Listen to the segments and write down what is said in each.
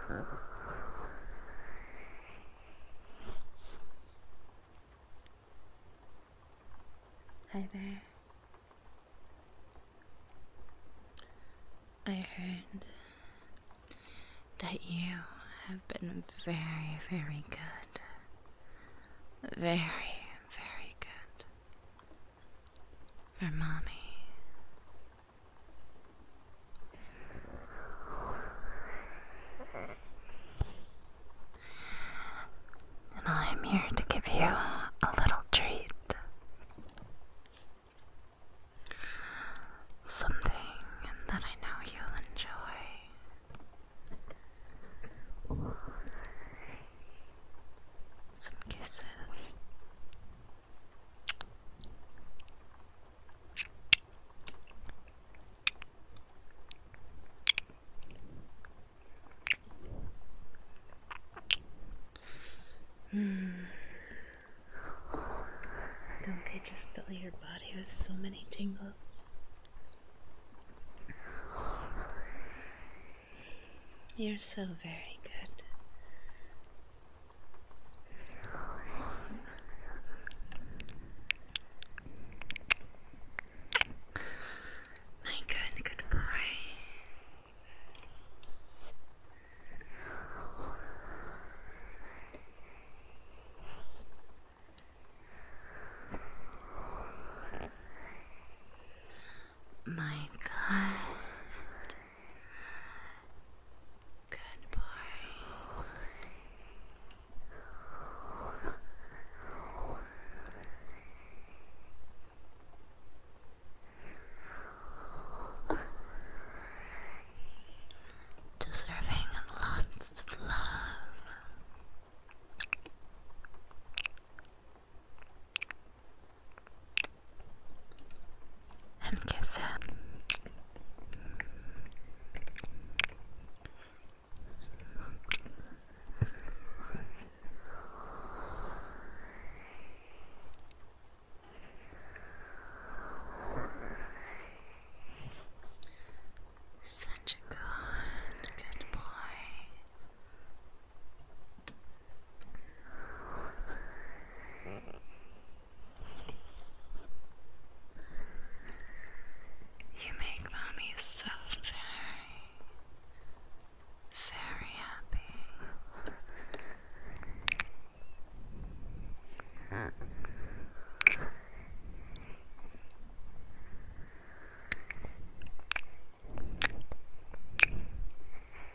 Hi there. I heard that you have been very, very good. Very, very good. For mommy. And I'm here to give you a little treat. Something that I know you'll enjoy. Some kisses. Mm. Don't they just fill your body with so many tingles? You're so very good. My good, good My God, Good boy. Deserving lots of love and kiss him. Such a good, good boy. You make mommy so very, very happy.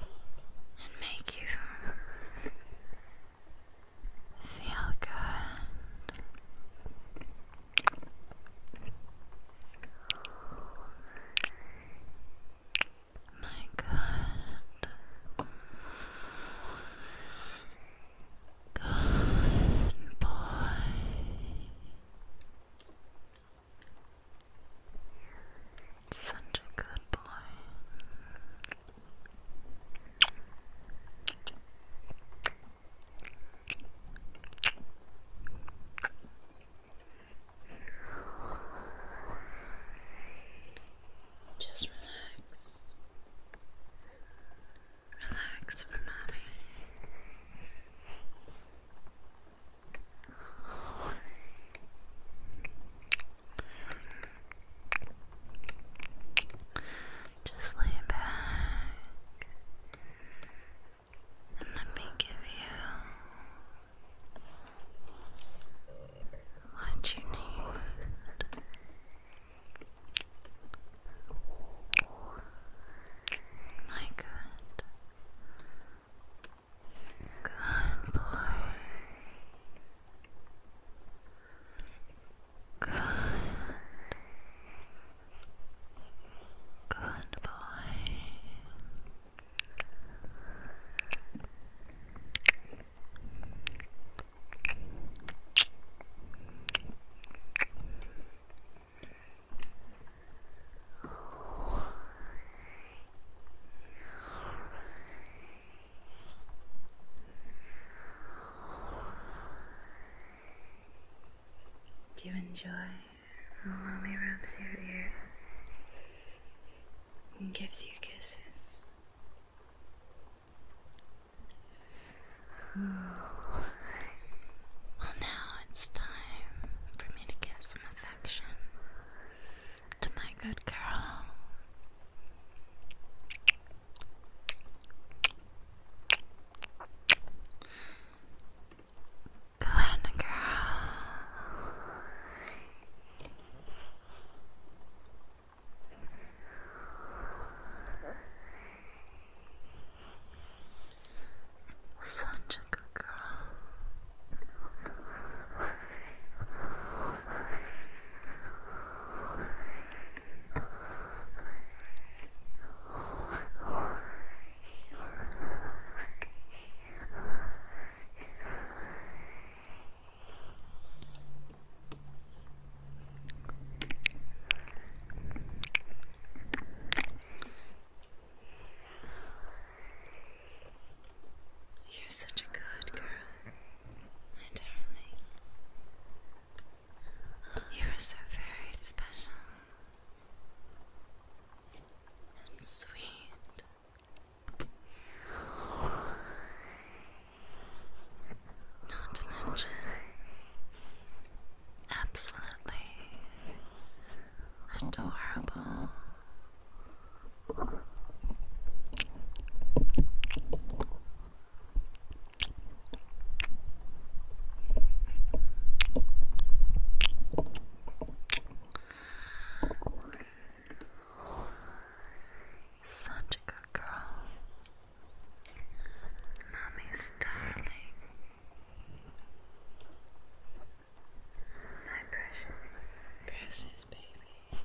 and make you feel good. My God. Good boy. Such a good boy. Just relax. Relax for mommy. Just lay back and let me give you what you need. My good, Good boy. Good. Good boy. Do you enjoy how mommy rubs your ears and gives you kisses? Well, now it's time for me to give some affection to my good girl. Go girl. Such a good girl. You're such a good girl, my darling. You are so very special and sweet. Not to mention absolutely Adorable. Such a good girl. Mommy's darling. My precious, precious baby.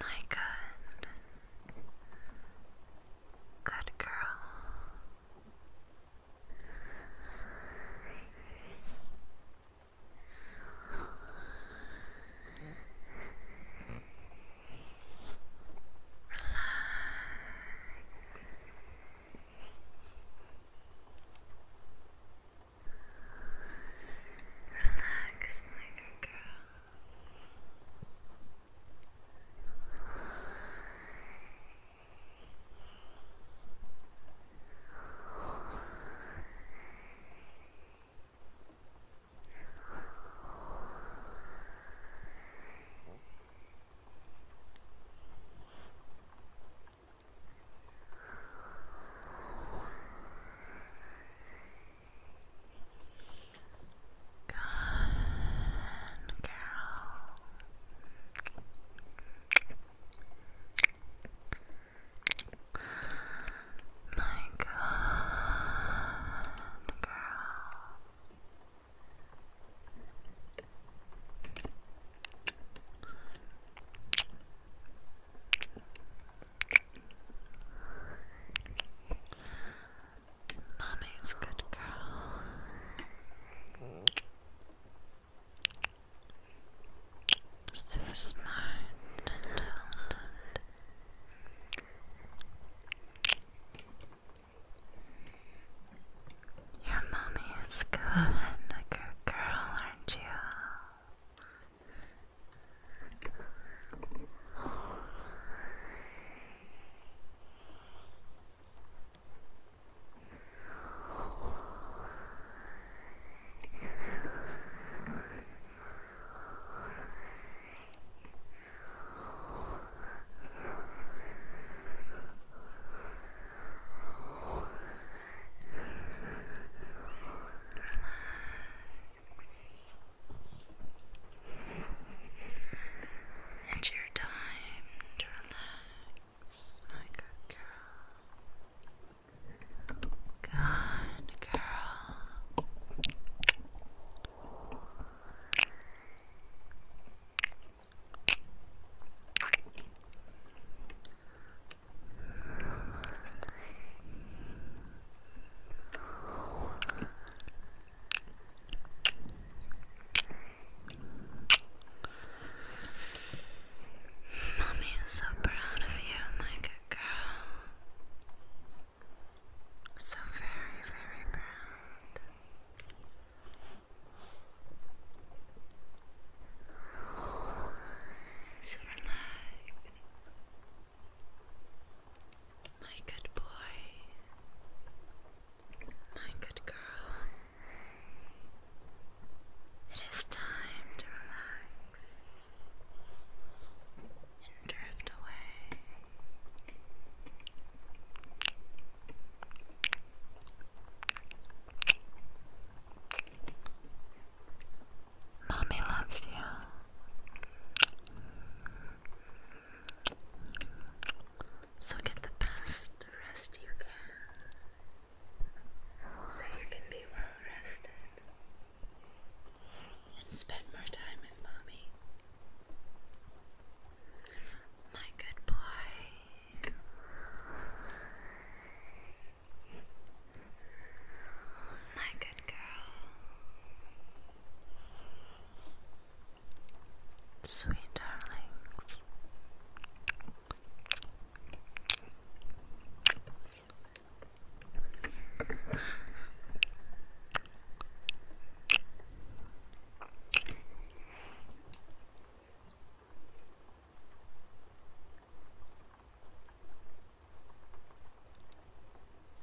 My good, good girl. Relax. Relax, my good girl. Good girl. My good girl. Mommy's good girl. So smart and talented. Your mommy is good, a girl, aren't you? And your time to relax, my good girl. Good girl. Mommy is so proud of you, my good girl. So very, very proud. So relax, my good boy, my good girl. It is time to relax and drift away. Mommy loves you. So get the best rest you can. So you can be well rested. And spend more time with mommy. My good boy. My good girl. Sweet darlings.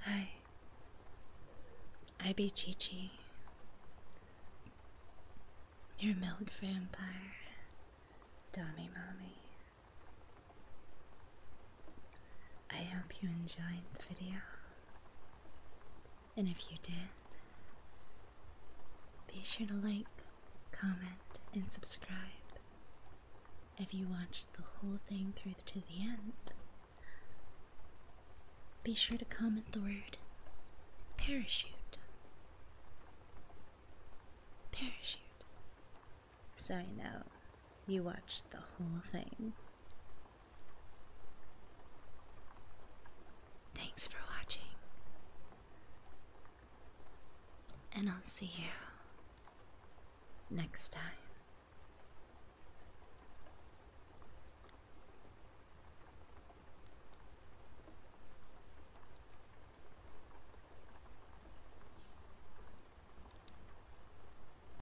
Hi. I be Chi Chi. Your milk vampire. Dummy mommy. I hope you enjoyed the video. And if you did, be sure to like, comment, and subscribe. If you watched the whole thing through to the end, be sure to comment the word parachute. Parachute. So I know you watched the whole thing. Thanks for watching, and I'll see you next time.